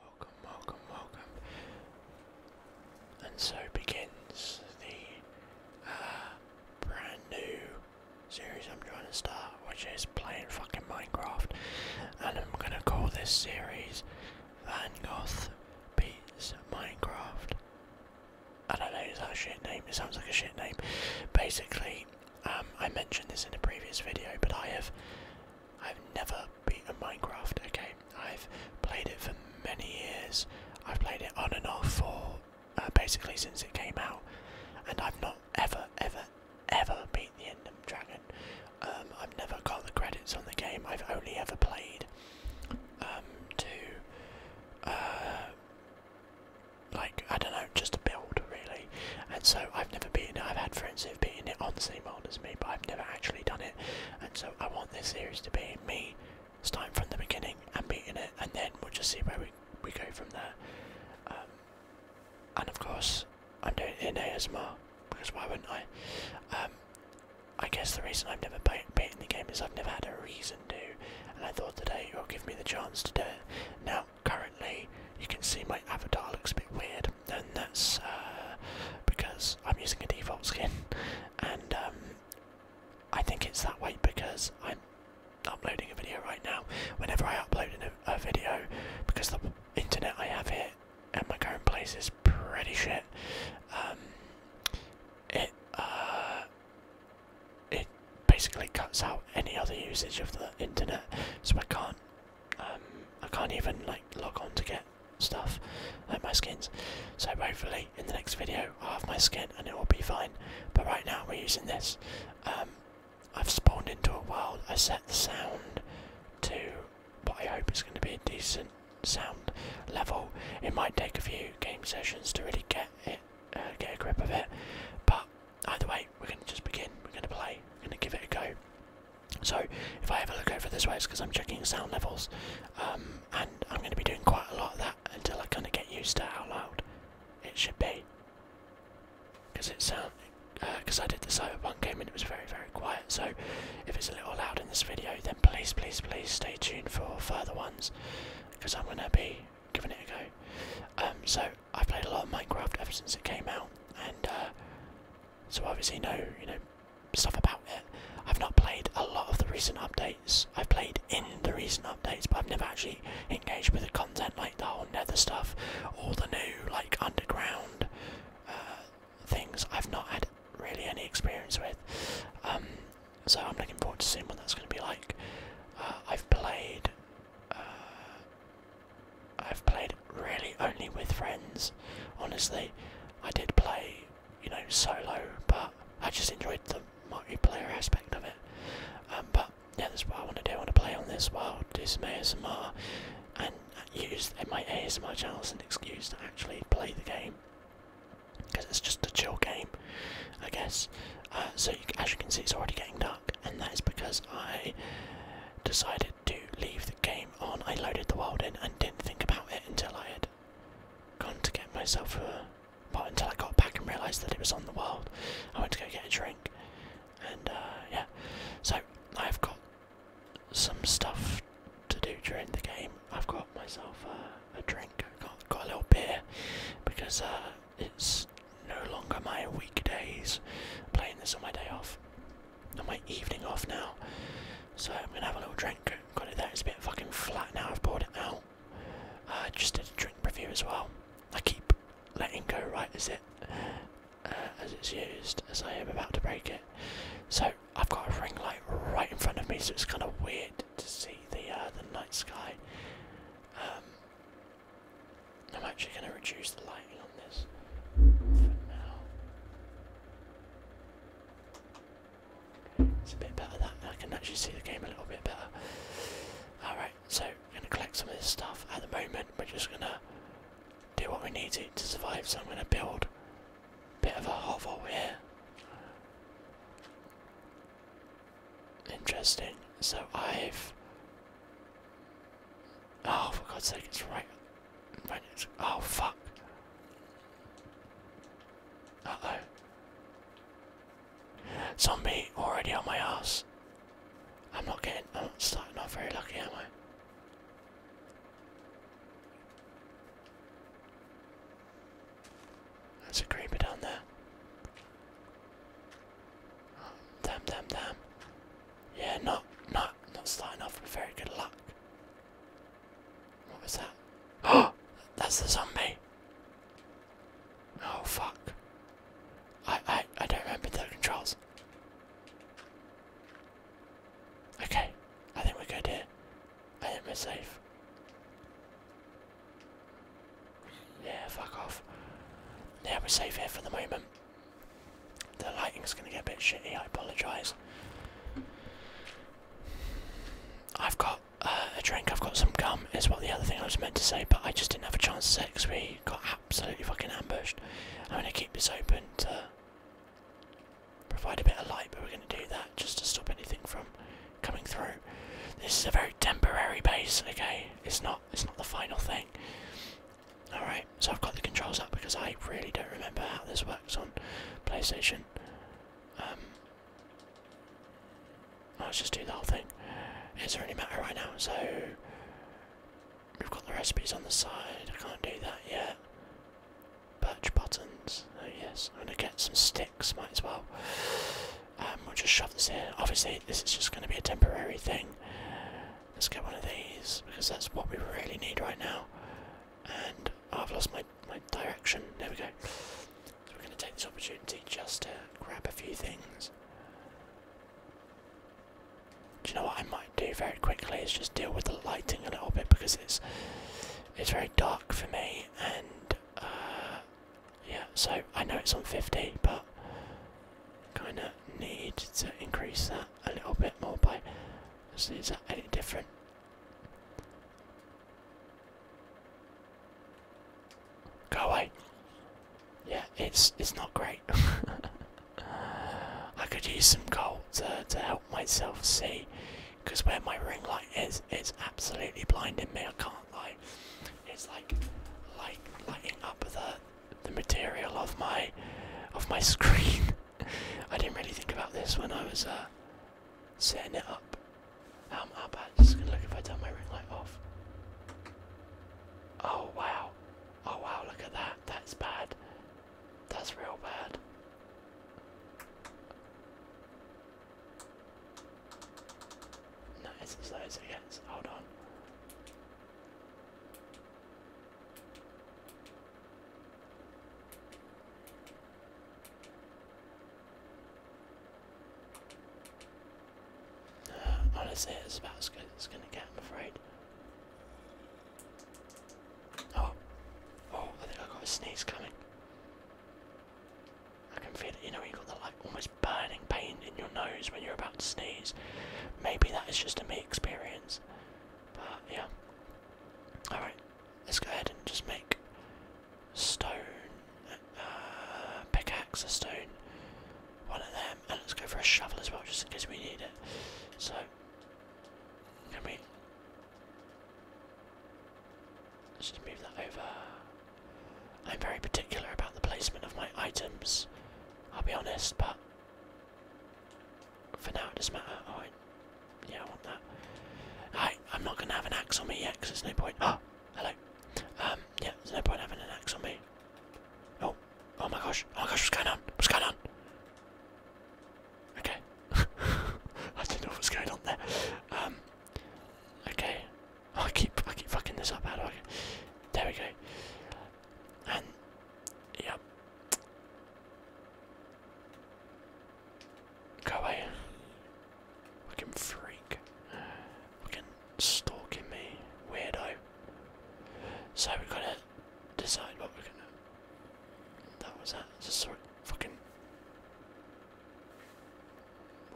Welcome, welcome, welcome. And so begins the uh, brand new series I'm trying to start, which is playing fucking Minecraft. And I'm gonna call this series Van Gogh Beats Minecraft. I don't know, is that a shit name? It sounds like a shit name. Basically, um, I mentioned this in a previous video, but I have I've never beaten Minecraft, okay? I've played it for many years. I've played it on and off for uh, basically since it came out. And I've not ever, ever, ever beat the Endem Dragon. Um, I've never got the credits on the game. I've only ever played um, to, uh, like, I don't know, just a build, really. And so I've never been. I've had friends beating it on the same world as me, but I've never actually done it, and so I want this series to be me starting from the beginning and beating it, and then we'll just see where we, we go from there. Um, and of course, I'm doing it in ASMR, because why wouldn't I? Um, I guess the reason I've never beaten the game is I've never had a reason to, and I thought today it will give me the chance to do it. Now, currently, you can see my avatar looks a bit weird then that's uh, because I'm using a default skin, and um, I think it's that way because I'm uploading a video right now. Whenever I upload a, video, because the internet I have here at my current place is pretty shit. Um, it uh, it basically cuts out any other usage of the internet, so I can't um, I can't even like log on to get stuff like my skins. So hopefully in the next video I'll have my skin and it will be fine. But right now we're using this. Um, I've spawned into a world. I set the sound to what I hope is going to be a decent sound level. It might take a few game sessions to really get it, uh, get a grip of it. But either way, we're going to just begin. We're going to play. We're going to give it a go. So if I ever look over this way, it's because I'm checking sound levels, um, and I'm going to be doing quite a lot of that until I kind of get used to how loud it should be. Because it sound, because uh, I did the Cyberpunk game and it was very very quiet. So if it's a little loud in this video, then please please please stay tuned for further ones, because I'm going to be giving it a go. Um, so I've played a lot of Minecraft ever since it came out, and uh, so obviously know you know stuff about it. I've not played a lot of the recent updates. I've played in the recent updates, but I've never actually engaged with the content like the whole Nether stuff or the new like underground uh, things. I've not had really any experience with. Um, so I'm looking forward to seeing what that's going to be like. Uh, I've played. Uh, I've played really only with friends. Honestly, I did play, you know, solo, but I just enjoyed the multiplayer aspect of it. Um, but yeah, that's what I want to do. I want to play on this while do some ASMR and use my ASMR channel as an excuse to actually play the game because it's just a chill game, I guess. Uh, so as you can see, it's already getting dark, and that is because I decided to leave the game on. I loaded the world in and didn't think about it until I had gone to get myself a. Well, until I got back and realised that it was on the world. I went to go get a drink. And uh, yeah, so I've got some stuff to do during the game. I've got myself a drink. I got, got a little beer because uh, it's no longer my weekdays. i playing this on my day off on my evening off now. So I'm gonna have a little drink. Got it there, it's a bit fucking flat now, I've poured it out. I uh, just did a drink review as well. I keep letting go right as it uh, as it's used, as I am about to break it. So I've got a ring light right in front of me, so it's kind of weird to see the uh, the night sky. Um, I'm actually going to reduce the light it's a bit better that I can actually see the game a little bit better. Alright, so I'm going to collect some of this stuff. At the moment, we're just going to do what we need to to survive, so I'm going to build a bit of a hovel here. Interesting. So I've. Oh, for God's sake, it's right Oh fuck. Uh Zombie already on my ass. I'm not getting. I'm not starting off very lucky, am I? There's a creeper down there. damn, damn, damn. Yeah, not, not, not starting off with very good luck. What was that? Oh, that's the zombie. Oh fuck. I I I don't remember the controls. Okay, I think we're good here. I think we're safe. Yeah, fuck off. Now we're safe here for the moment. The lighting's gonna get a bit shitty, I apologise. I've got uh, a drink, I've got some gum, is what the other thing I was meant to say, but I just didn't have a chance to say because we got absolutely fucking ambushed. I'm gonna keep this open to provide a bit of light, but we're gonna do that just to stop anything from coming through. This is a very temporary base, okay? It's not it's not the final thing. Alright, so I've got the controls up because I really don't remember how this works on PlayStation. Um, let's just do the whole thing. It doesn't really matter right now, so we've got the recipes on the side, I can't do that yet. Birch buttons, oh yes, I'm gonna get some sticks, might as well. Um, we'll just shove this in. Obviously, this is just gonna be a temporary thing. Let's get one of these because that's what we really need right now and oh, I've lost my, my direction. There we go. we're going to take this opportunity just to grab a few things. Do you know what I might do very quickly is just deal with the lighting a little bit because it's it's very dark for me and uh, yeah so I know it's on 50 but kind of need to increase that a little bit more by is, is that any different? Go away. Yeah, it's it's not great. I could use some coal to to help myself see, because where my ring light is, it's absolutely blinding me. I can't lie. It's like like lighting up the the material of my of my screen. I didn't really think about this when I was uh, setting it up. How, um, how bad is going to look if I turn my ring light off? Oh wow. Oh wow, look at that. That's bad. That's real bad. No, it's as low as it gets. Hold on. Honestly, it's about as good as it's gonna get, I'm afraid. Oh, oh, I think I have got a sneeze coming. I can feel it, you know, you got the like almost burning pain in your nose when you're about to sneeze. Maybe that is just a me experience, but yeah. Alright, let's go ahead and just make stone, uh, pickaxe, a stone, one of them, and let's go for a shovel as well, just in case we need it. So, can we. just move that over. I'm very particular about the placement of my items, I'll be honest, but for now, it doesn't matter. Alright. Yeah, I want that. Alright, I'm not going to have an axe on me yet because there's no point. Oh, hello. Um, yeah, there's no point having an axe on me. Oh, oh my gosh. Oh my gosh, what's going on? What's going on? Okay. I don't know what's going on there. Um, okay. I keep, I keep fucking this up. How do There we go. And, yep. Golly. Fucking freak. Fucking stalking me. Weirdo. So we gotta decide what we're gonna. That was that. Just sort of fucking.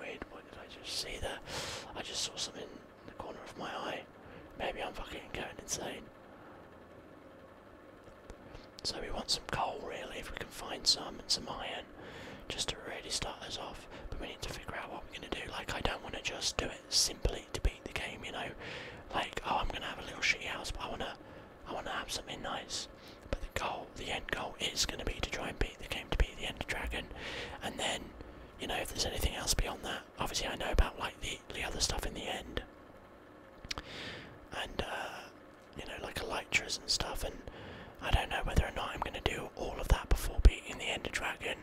weird. what did I just see there? I just saw something in the corner of my eye. Maybe I'm fucking going insane. So we want some coal really, if we can find some, and some iron, just to really start us off. But we need to figure out what we're going to do. Like, I don't want to just do it simply to beat the game, you know? Like, oh, I'm going to have a little shitty house, but I want to I wanna have something nice. But the goal, the end goal is going to be to try and beat the game, to beat the end Dragon. And then, you know, if there's anything else beyond that, obviously I know about, like, the, the other stuff in the end and uh, you know, like elytras and stuff. And I don't know whether or not I'm going to do all of that before beating the Ender Dragon.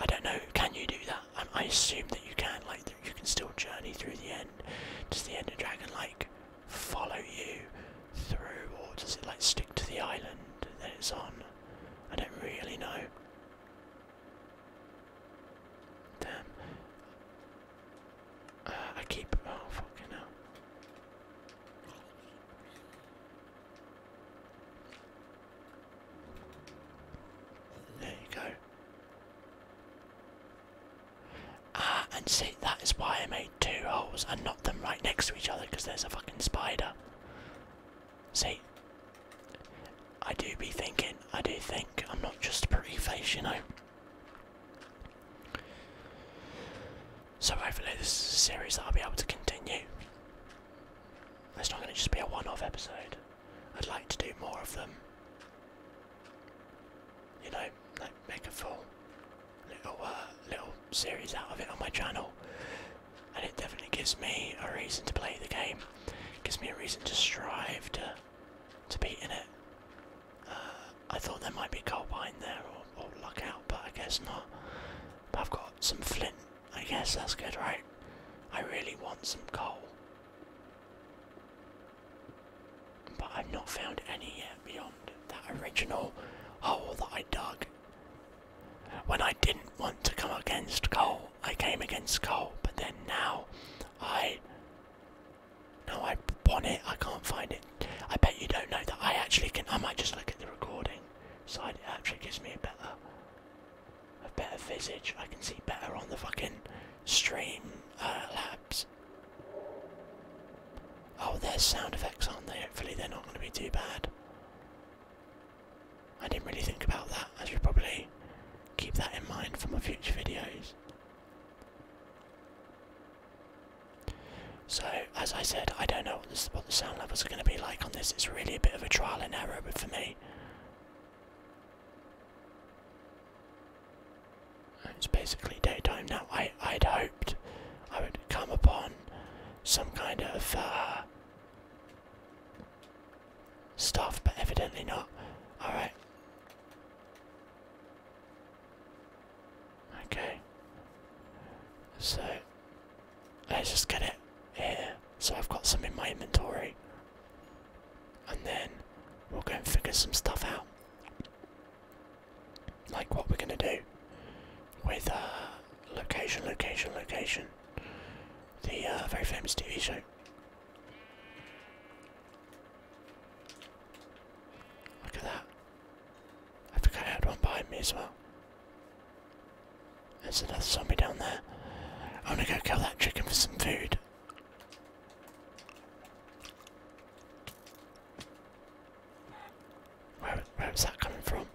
I don't know. Can you do that? I assume that you can. Like you can still journey through the end. to the Ender Dragon like follow you through, or does it like stick to the island Then it's on? I don't really know. Damn. Uh, I keep. Oh, fucking hell. There you go. Ah, and see, that is why I made two holes and knocked them right next to each other because there's a fucking spider. See, I do be thinking, I do think I'm not just a pretty face, you know. So hopefully this is a series that I'll be able to continue. It's not going to just be a one-off episode. I'd like to do more of them. You know, make a full little uh, little series out of it on my channel, and it definitely gives me a reason to play the game. It gives me a reason to strive to to be in it. Uh, I thought there might be coal behind there or, luck out, but I guess not. I've got some flint. I guess that's good, right? I really want some coal. But I've not found any yet beyond that original hole that I dug. When I didn't want to come against coal, I came against coal, but then now I no, I want it. I can't find it. I bet you don't know that I actually can. I might just look at the recording side. actually gives me a better, a better visage. I can see better on the fucking stream uh, labs. Oh, there's sound effects, aren't they? Hopefully they're not going to be too bad. I didn't really think about that. I should probably keep that in mind for my future videos. So, as I said, I don't know what, the sound levels are going to be like on this. It's really a bit of a trial and error but for me. It's basically daytime now. I, i hoped I would come upon some kind of uh, stuff, but evidently not. Alright. Okay. So let's just get it here. So I've got some in my inventory. And then we'll go and figure some stuff out. Like what we're gonna do with uh, location, location, location. The uh, very famous TV show. Look at that. I forgot I had one behind me as well. There's another zombie down there. I'm gonna go kill that chicken for some food. Where, where that coming from?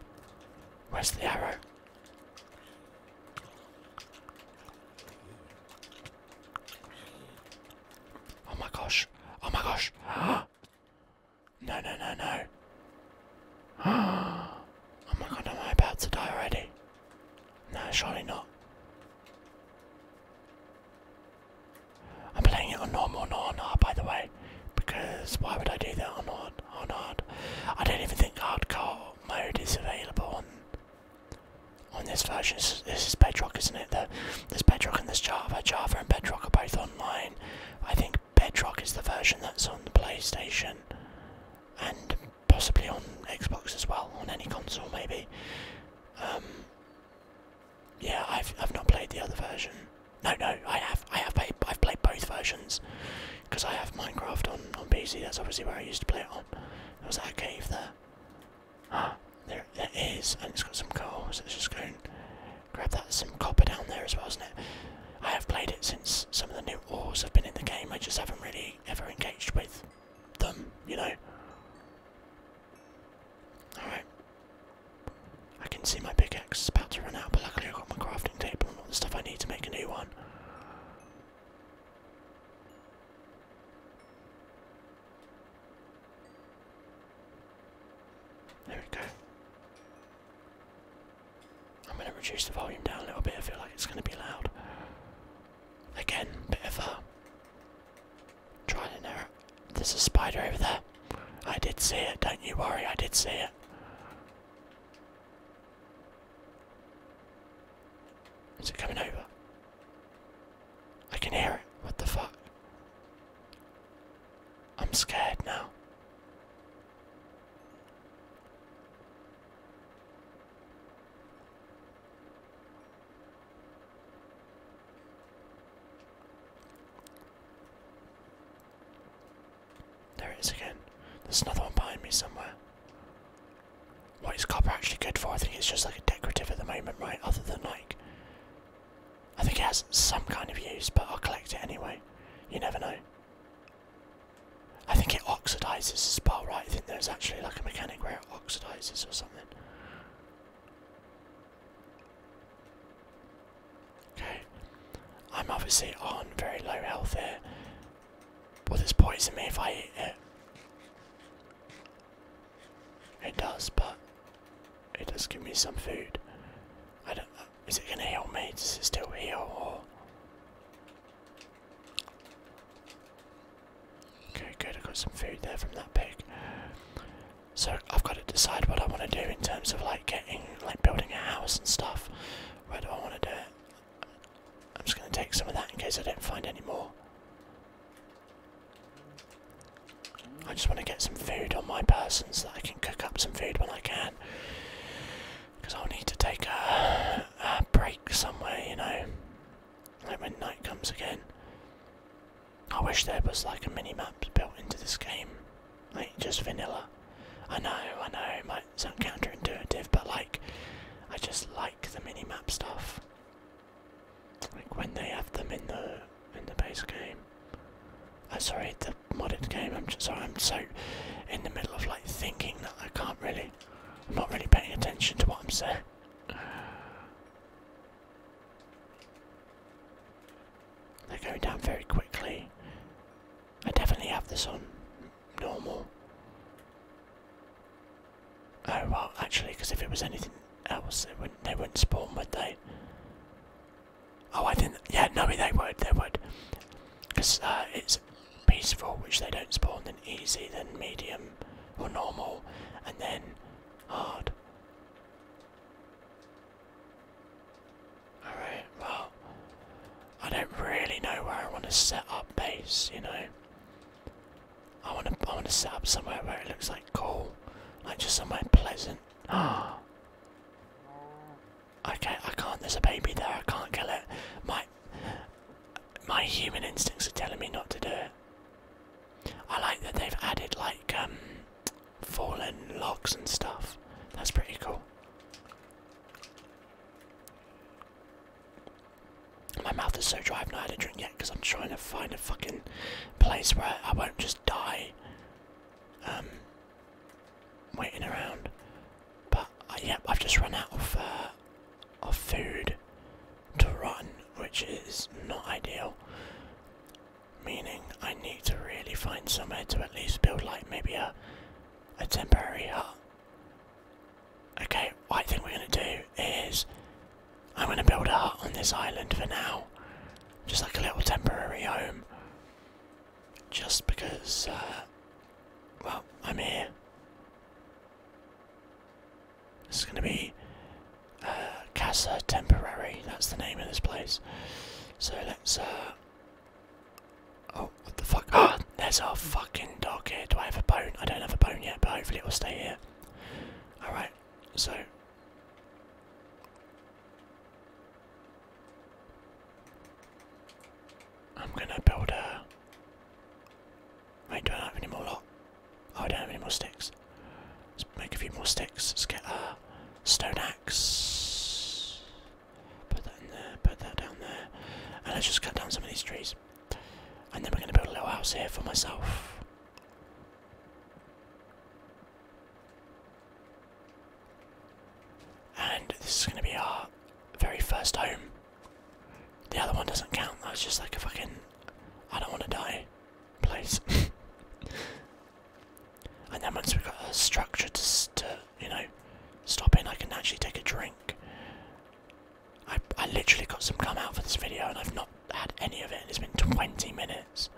Where's the arrow? Oh my gosh. Oh my gosh. No, no, no, no. Oh my god, am I about to die already? No, surely not. I'm playing it on normal, not on by the way. Because why would I do that on hard? On hard? I don't even think hardcore mode is available on on this version. This is, this is Bedrock, isn't it? The, there's Bedrock and there's Java. Java and Bedrock are both online. I think Bedrock is the version that's on the PlayStation and possibly on Xbox as well, on any console maybe. Um, yeah, I've I've not played the other version. No, no, I have I have played I've played both versions because I have Minecraft on on PC. That's obviously where I used to play it on. There was that cave there. Ah, there it is, and it's got some gold. so let's just go and grab that. Some copper down there as well, isn't it? I have played it since some of the new ores have been in the game, I just haven't really ever engaged with them, you know? Alright. I can see my pickaxe is about to run out, but luckily I've got my crafting table and all the stuff I need to make a new one. There we go. I'm going to reduce the volume down a little bit, I feel like it's going to be loud. Again, bit of a trial and There's a spider over there. I did see it, don't you worry, I did see it. Is it coming over? I can hear it. What the fuck? I'm scared now. There it is again. There's another one behind me somewhere. What is copper actually good for? I think it's just like a decorative at the moment, right? Other than like. I think it has some kind of use, but I'll collect it anyway. You never know. I think it oxidizes as well, right? I think there's actually like a mechanic where it oxidizes or something. Okay. I'm obviously on very low health here. Will this poison me if I eat it? It does, but it does give me some food. Uh, is it gonna heal me? Does it still heal? Or okay, good. I got some food there from that pig. So I've got to decide what I want to do in terms of like getting, like building a house and stuff. Where do I want to do it? I'm just gonna take some of that in case I don't find any more. I just want to get some food on my person so that I can cook up some food when I can. Because I'll need to take a, break somewhere, you know. Like when night comes again. I wish there was like a mini map built into this game. Like just vanilla. I know, I know, it might sound counterintuitive, but like, I just like the mini map stuff. Like when they have them in the in the base game. Oh, sorry, the modded game. I'm sorry, I'm so in the middle of like thinking that I can't really. I'm not really paying attention to what I'm saying. They're going down very quickly. I definitely have this on normal. Oh well, actually, because if it was anything else, they wouldn't they wouldn't spawn, would they? Oh, I didn't. Yeah, no, they would. They would, because uh, it's peaceful, which they don't spawn. Then easy, then medium or normal, and then hard. Alright, well, I don't really know where I want to set up base, you know. I want to. I want to set up somewhere where it looks like cool, like just somewhere pleasant. Ah. okay, I can't. There's a baby there. I can't kill it. My my human instincts are telling me not to do it. I like that they've added like um, fallen logs and stuff. That's pretty cool. My mouth is so dry, I've not had a drink yet because I'm trying to find a fucking place where I won't just die um, waiting around. But uh, I've just run out of, uh, of food to run, which is not ideal. Meaning I need to really find somewhere to at least build like maybe a, a temporary hut Okay, what I think we're gonna do is I'm gonna build a hut on this island for now. Just like a little temporary home. Just because uh, well, I'm here. This is gonna be uh, Casa Temporary, that's the name of this place. So let's uh, Oh, what the fuck? Ah, oh, there's our fucking dog here. Do I have a bone? I don't have a bone yet, but hopefully it will stay here. Alright, so. I'm gonna build a. Wait, do not have any more lot? Oh, I don't have any more sticks. Let's make a few more sticks. Let's get a stone axe. Put that in there, put that down there. And let's just cut down some of these trees. And then we're gonna build a little house here for myself. And this is going to be our very first home. The other one doesn't count, that's just like a fucking I don't want to die place. and then once we've got a structure to, to, you know, stop in, I can actually take a drink. I, literally got some gum out for this video and I've not had any of it and it's been 20 minutes.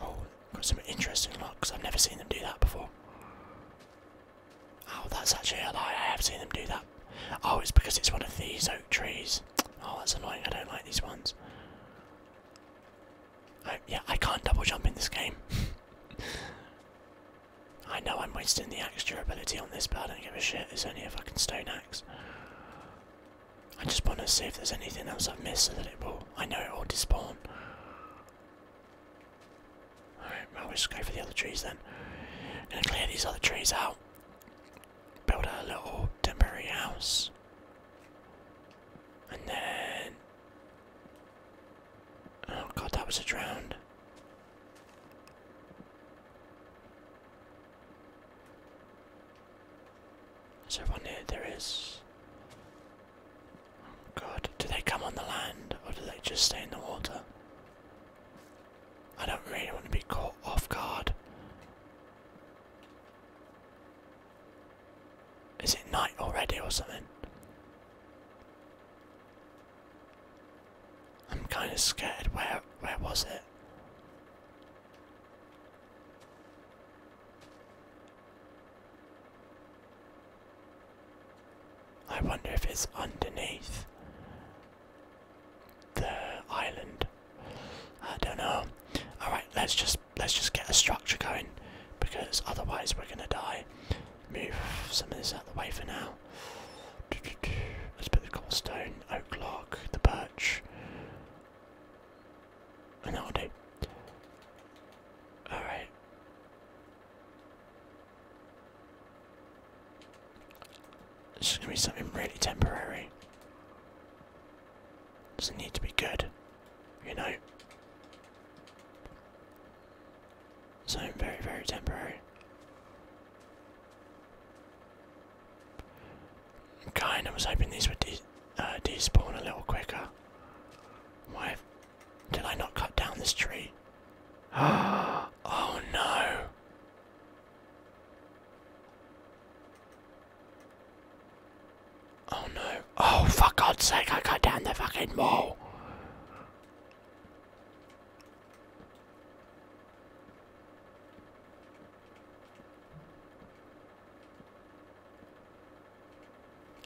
Oh, got some interesting looks. I've never seen them do that before. Oh, that's actually a lie. I have seen them do that. Oh, it's because it's one of these oak trees. Oh, that's annoying. I don't like these ones. I, yeah, I can't double jump in this game. I know I'm wasting the axe durability on this, but I don't give a shit. It's only a fucking stone axe. I just want to see if there's anything else I've missed so that it will. I know it will despawn. Alright, well, we just go for the other trees then. I'm gonna clear these other trees out. Build a little temporary house. And then Oh god, that was a drowned. Is everyone here? There is. Oh god, do they come on the land or do they just stay in the water? I don't really want to be caught off guard. Is it night already or something? I'm kind of scared. Where where was it? I wonder if it's underneath the island. I don't know. Alright, let's just let's just get a structure going because otherwise we're gonna die. Move some of this out of the way for now. Let's put the cobblestone, oak log, the birch, and that'll do. All right. It's just gonna be something really temporary. Doesn't need to be good you know. So very, very temporary. Kind of was hoping these would de uh, despawn a little quicker. Why did I not cut down this tree? oh no! Oh no. Oh, for God's sake, I go down the fucking wall.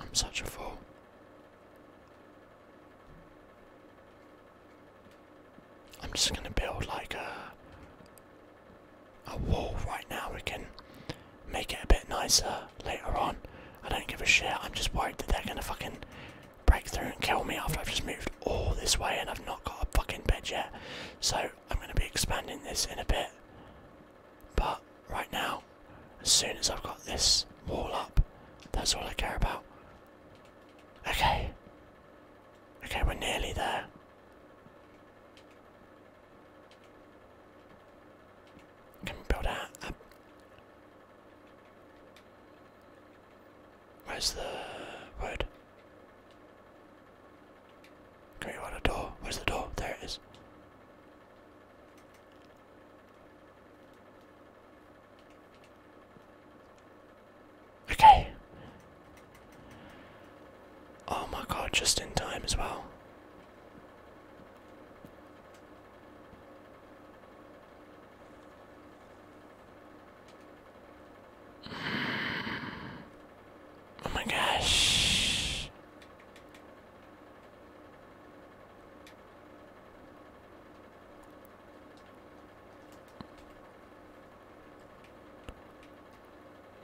I'm such a fool. I'm just gonna build like a a wall right now. We make it a bit nicer later on. I don't give a shit, I'm just worried that they're gonna fucking break through and kill me after I've just moved all this way and I've not got a fucking bed yet. So I'm gonna be expanding this in a bit. But right now, as soon as I've got this wall up, that's all I care about. Okay. Okay, we're nearly there. Can we build out Where's the wood? Can we order a door? Where's the door? There it is. Okay. Oh my god, just in time as well. Oh my gosh.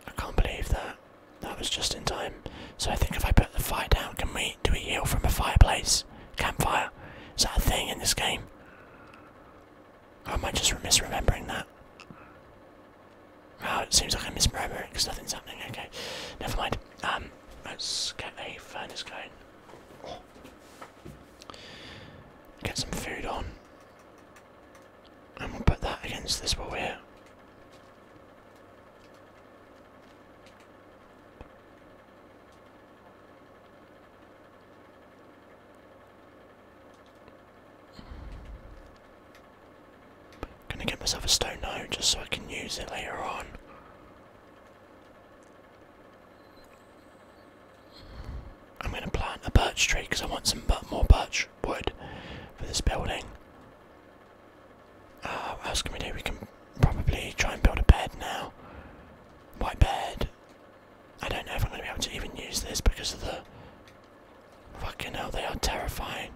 I can't believe that. That was just in time. So I think if I put the fire down, can we do we heal from a fireplace? Campfire? Is that a thing in this game? I might just miss remembering that? Wow, it seems like I'm misremembering because nothing's happening. Okay, never mind. Um, let's get a furnace going. Get some food on. And we'll put that against this wall here. Gonna get myself a stone now just so I can use it later on. I'm gonna plant a birch tree because I want some more birch wood for this building. Oh, what else can we do? We can probably try and build a bed now. White bed. I don't know if I'm going to be able to even use this because of the. Fucking hell, they are terrifying.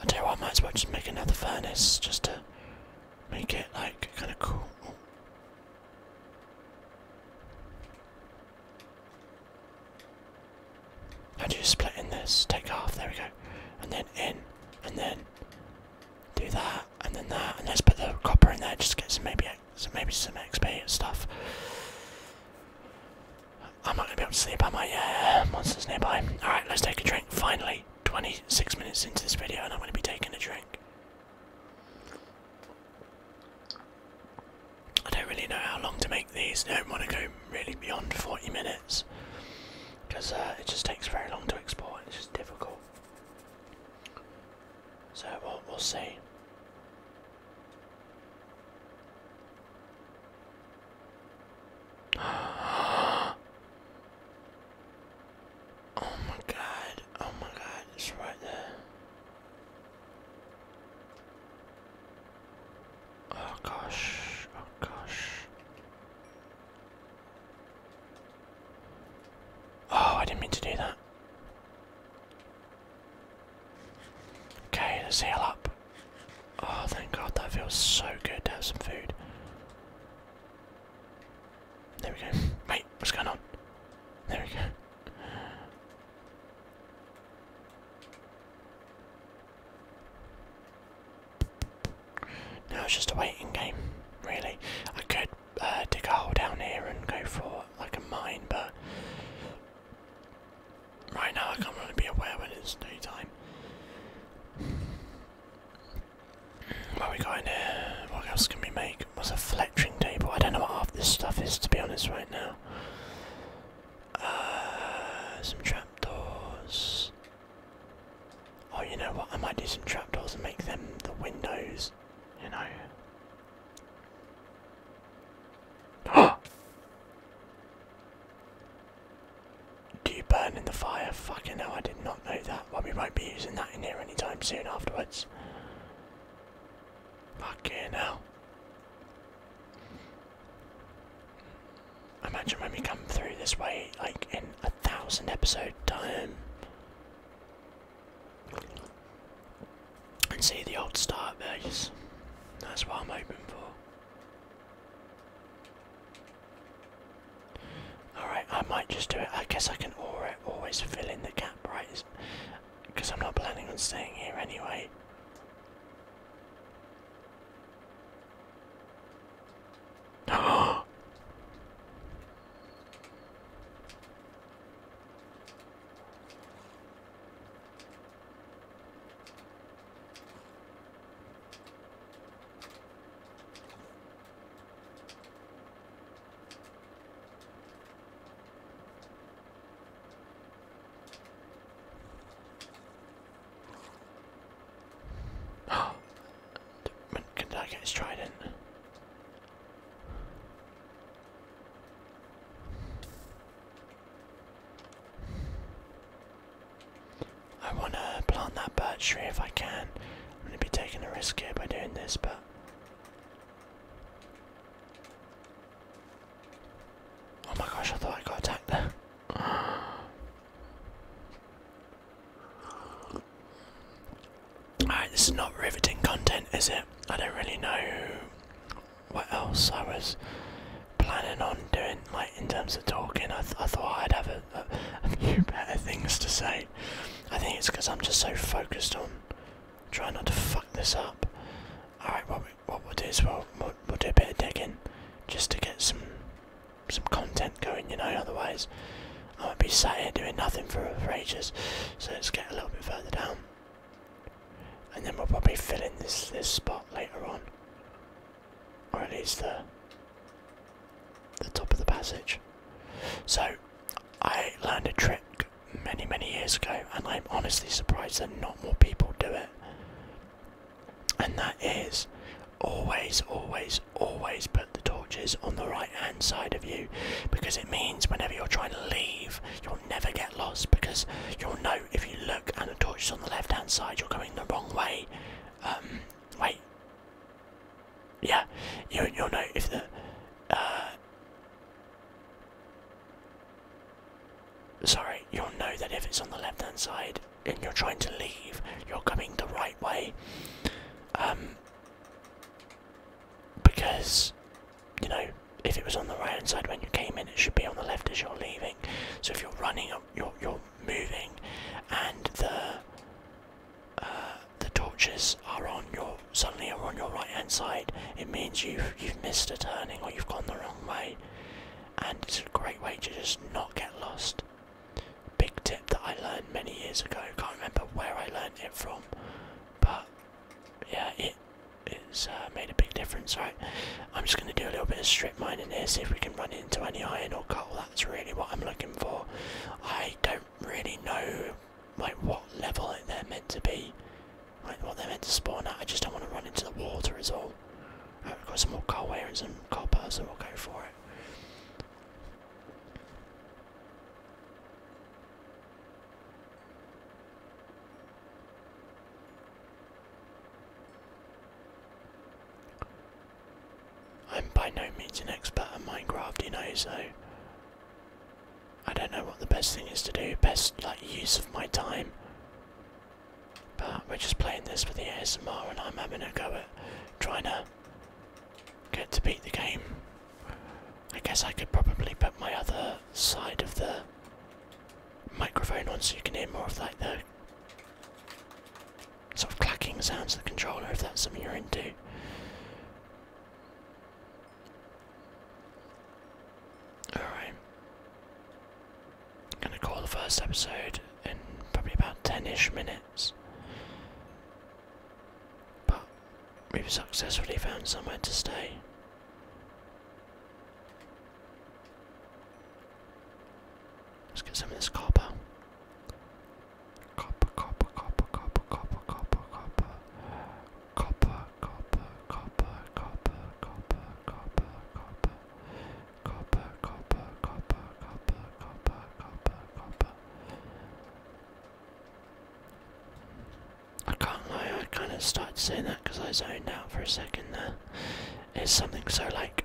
I tell you what, I might as well just make another furnace just to make it like kind of cool. Ooh. How do you split in this? Take half, there we go. And then in, and then do that, and then that, and let's put the copper in there just to get some maybe, some, maybe some XP and stuff. I'm not gonna be able to sleep, am my monsters nearby. Alright, let's take a drink. Finally, 26 minutes into this video, and I'm gonna be taking a drink. I don't really know how long to make these. I don't want to go really beyond 40 minutes because uh, it just takes very long to export. and It's just difficult. So we'll, we'll see. oh my god, oh my god, it's right there. Oh gosh, oh gosh. Oh, I didn't mean to do that. Okay, let's heal up. Oh, thank God, that feels so good to have some food. There we go. Mate, what's going on? There we go. Now it's just a waiting game, really. I could uh, dig a hole down here and go for like a mine, but Right now I can't really be aware when it's daytime. What we got in here? What else can we make? What's a fletching table? I don't know what half this stuff is to be honest right now. Uh, some trapdoors. Oh, you know what? I might do some trapdoors and make them the windows. You know. Do you burn in the fire? Fucking hell, I did not know that. Well, we won't be using that in here anytime soon afterwards. Fucking hell. Imagine when we come through this way, like in a thousand episode time. And see the old start That's what I'm hoping for. Alright, I might just do it. I guess I can always fill in the gap, right? Because I'm not planning on staying here anyway. Can I get his trident? I want to plant that birch tree if I can. I'm going to be taking a risk here by doing this, but. Oh my gosh, I thought I got attacked there. Alright, this is not riveting content, is it? I don't really know what else I was planning on doing, like, in terms of talking. I, I thought I'd have a, a, few better things to say. I think it's because I'm just so focused on trying not to fuck this up. Alright, what, we, what we'll do is we'll, we'll, do a bit of digging just to get some some content going, you know, otherwise I won't be sat here doing nothing for, for ages. So let's get a little bit further down. And then we'll probably fill in this, this spot later on or at least the the top of the passage. So I learned a trick many many years ago, and I'm honestly surprised that not more people do it. And that is always, always, always put the torches on the right hand side of you because it means whenever you're trying to leave, you'll never get lost because you'll know if you look and the torch is on the left hand side, you're going the wrong way. Um, wait. Yeah, you, will know if the. Uh, sorry, you'll know that if it's on the left hand side and you're trying to leave, you're coming the right way. Um, because, you know, if it was on the right hand side when you came in, it should be on the left as you're leaving. So if you're running, you're, you're moving and the uh, the torches are on your suddenly are on your right hand side it means you've you've missed a turning or you've gone the wrong way and it's a great way to just not get lost big tip that i learned many years ago can't remember where i learned it from but yeah it it's uh, made a big difference right I'm just going to do a little bit of strip mining here, see if we can run into any iron or coal. That's really what I'm looking for. I don't really know like what level they're meant to be, like what they're meant to spawn at. I just don't want to run into the water as all. Right, we've got some more coal here and some copper, so we'll go for it. I'm by no means an expert at Minecraft, you know, so I don't know what the best thing is to do, best like use of my time. But we're just playing this for the ASMR and I'm having a go at trying to get to beat the game. I guess I could probably put my other side of the microphone on so you can hear more of like the sort of clacking sounds of the controller if that's something you're into. Alright. I'm gonna call the first episode in probably about 10 ish minutes. But we've successfully found somewhere to stay. Let's get some of this copper. Copper, copper, copper, copper, copper, copper, copper. Copper, copper, copper, copper, copper, copper, copper. Copper, copper, copper, copper, copper, copper, copper. I can't lie, I kind of started saying that because I zoned out for a second there. It's something so like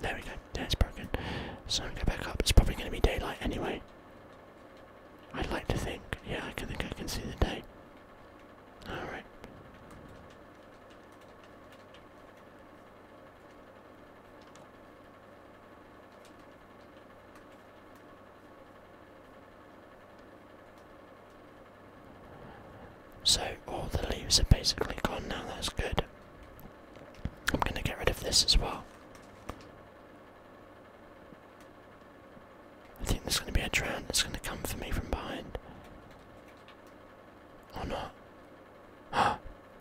There we go. Yeah, it's broken. So go back up. It's probably going to be daylight anyway. I'd like to think. Yeah, I can think I can see the day. Alright. So all the leaves are basically gone now, that's good. I'm gonna get rid of this as well. I think there's gonna be a drown that's gonna come for me from behind. Or not. Huh?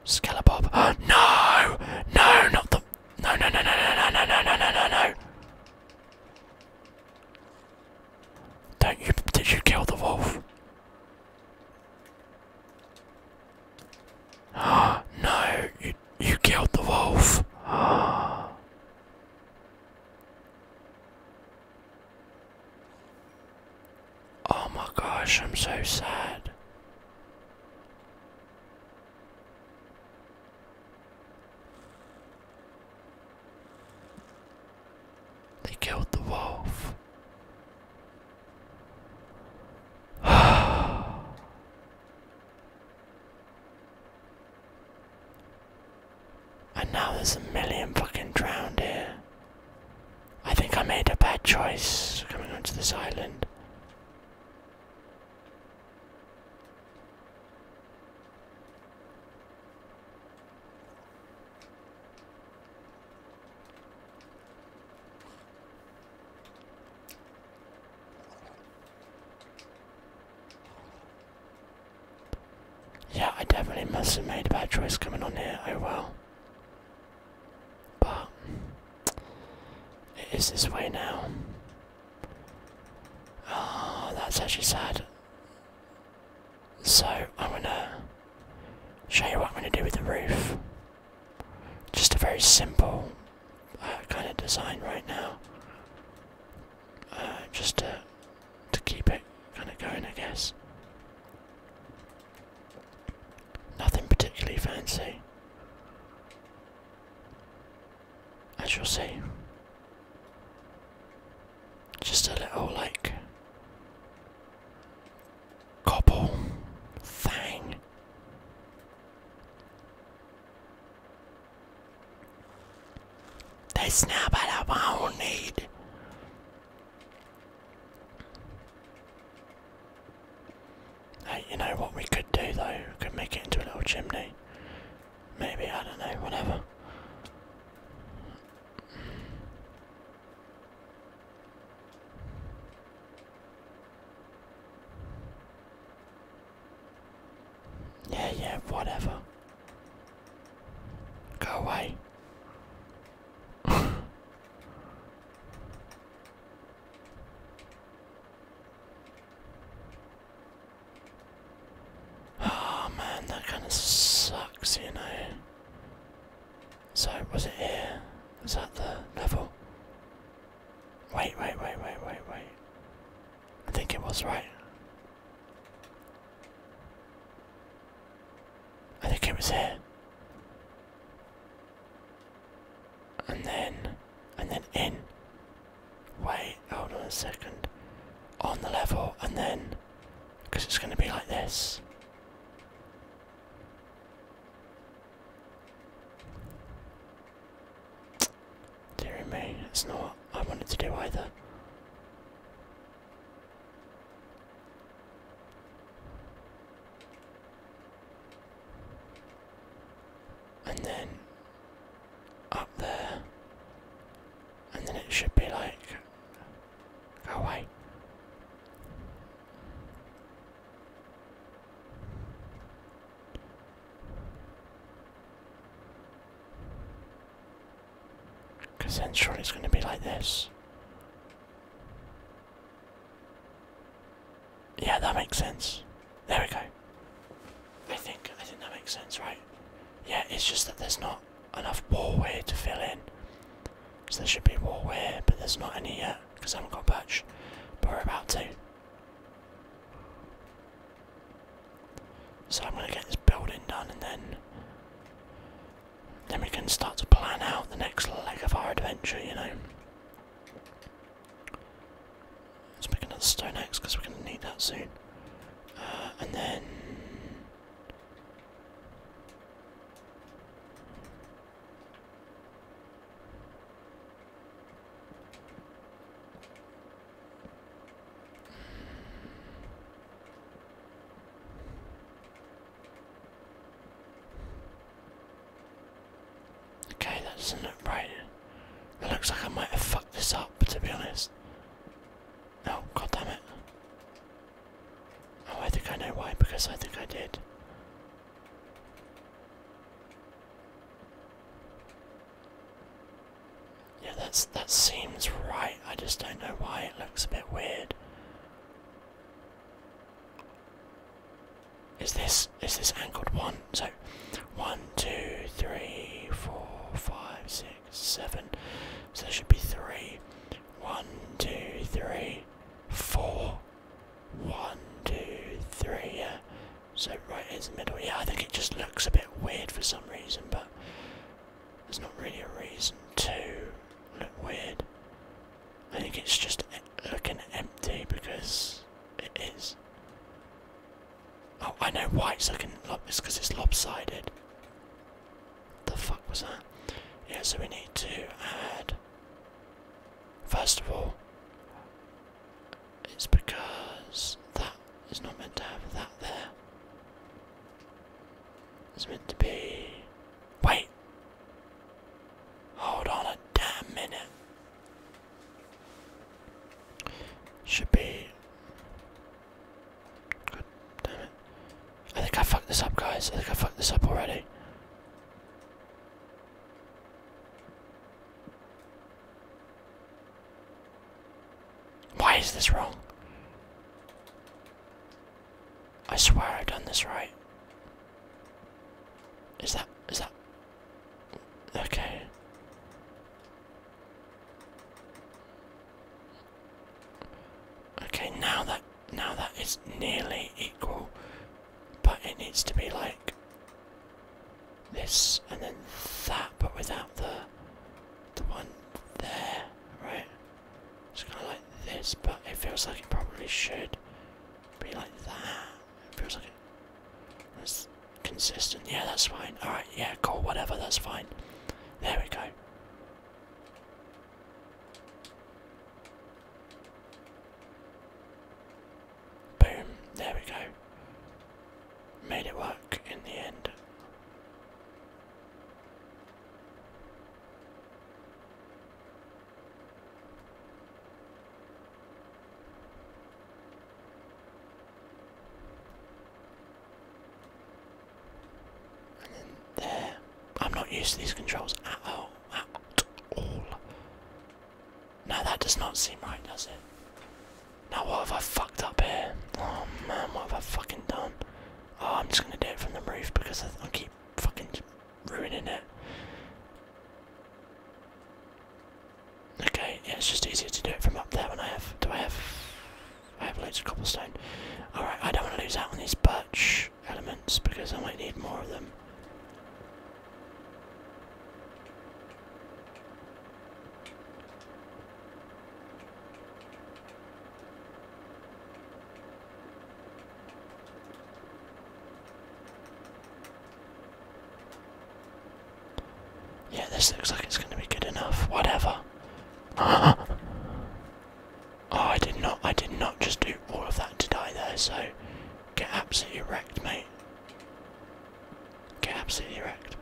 Scalabob. Oh, no! No, not the. No, no, no, no, no, no, no, no, no, no, no. Don't you. Did you kill the wolf? no, you you killed the wolf. Oh my gosh, I'm so sad. They killed the wolf and now there's a million fucking drowned here. I think I made a bad choice coming onto this island. Yeah, I definitely must have made a bad choice coming on here, oh well. But it is this way now. Oh, that's actually sad. So I'm gonna show you what I'm gonna do with the roof. Just a very simple uh, kind of design right now. Uh, just to, keep it kind of going, I guess. Nothing particularly fancy. As you'll see. Just a little, like, Cobble. Fang. That's not what I won't need. Hey, you know what we could do though? We could make it into a little chimney. Maybe, I don't know, whatever. Yeah, yeah, whatever. Go away. oh man, that kind of sucks, you know. So, was it here? Was that the level? Wait, wait, wait, wait, wait, wait. I think it was right. I think it was here. And then, and then in. Wait, hold on a second. On the level, and then, because it's going to be like this. Dear me, it's not what I wanted to do either. And then up there, and then it should be like, go away. Because then surely it's going to be like this. Yeah, that makes sense. There we go. I think I think that makes sense, right? Yeah, it's just that there's not enough wall here to fill in. So there should be wall here, but there's not any yet. Uh, because I haven't got a perch, but we're about to. So I'm going to get this building done and then then we can start to plan out the next leg of our adventure, you know. Let's pick another stone axe because we're going to need that soon. Uh, and then. Okay, that doesn't look right. It looks like I might have fucked this up, to be honest. Oh, god damn it. Oh, I think I know why, because I think I did. Yeah, that's that seems right. I just don't know why it looks a bit weird. Is this is this angled one? So one, two, three, four, five, six, seven. So there should be three. One, two, three, four. One, two, three, yeah. So right in the middle. Yeah, I think it just looks a bit weird for some reason, but there's not really a reason to look weird. I think it's just looking empty because it is. Oh, I know why it's looking like this because it's lopsided. The fuck was that? Yeah, so we need to add First of all, it's because that is not meant to have that there. It's meant to be. Wait! Hold on a damn minute. Should be. good. damn it. I think I fucked this up, guys. I think I fucked this up already. Why is this wrong? I swear I've done this right. Is that, is that, okay. Okay, now that, now that is nearly equal but it needs to be like this and then that, but without the the one there, right? It's kind of like this, but it feels like it probably should be like that. It feels like it's consistent. Yeah, that's fine. Alright, yeah, cool, whatever, that's fine. There we go. Boom, there we go. Made it work in the end. And there. I'm not used to these controls at all. At all. No, that does not seem right, does it? Now what have I fucked up here? Oh man, what have I fucking done? Oh, I'm just gonna do it from the roof because I, keep fucking ruining it. Okay, yeah, it's just easier to do it from up there when I have. Do I have? I have loads of cobblestone. Alright, I don't want to lose out on these birch elements because I might need more of them. Yeah, this looks like it's going to be good enough. Whatever. oh, I did not. I did not just do all of that to die there. So Get absolutely wrecked, mate. Get absolutely wrecked.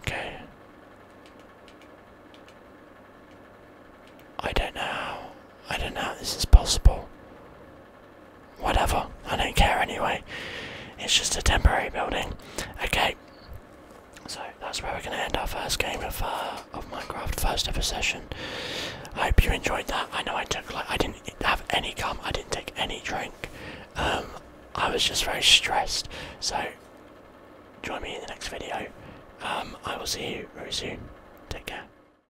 Okay. I don't know. I don't know this is possible. Whatever, I don't care anyway. It's just a temporary building. Okay, so that's where we're gonna end our first game of uh, of Minecraft, first ever session. I hope you enjoyed that. I know I took like I didn't have any gum, I didn't take any drink. Um, I was just very stressed. So join me in the next video. Um, I will see you very soon. Take care.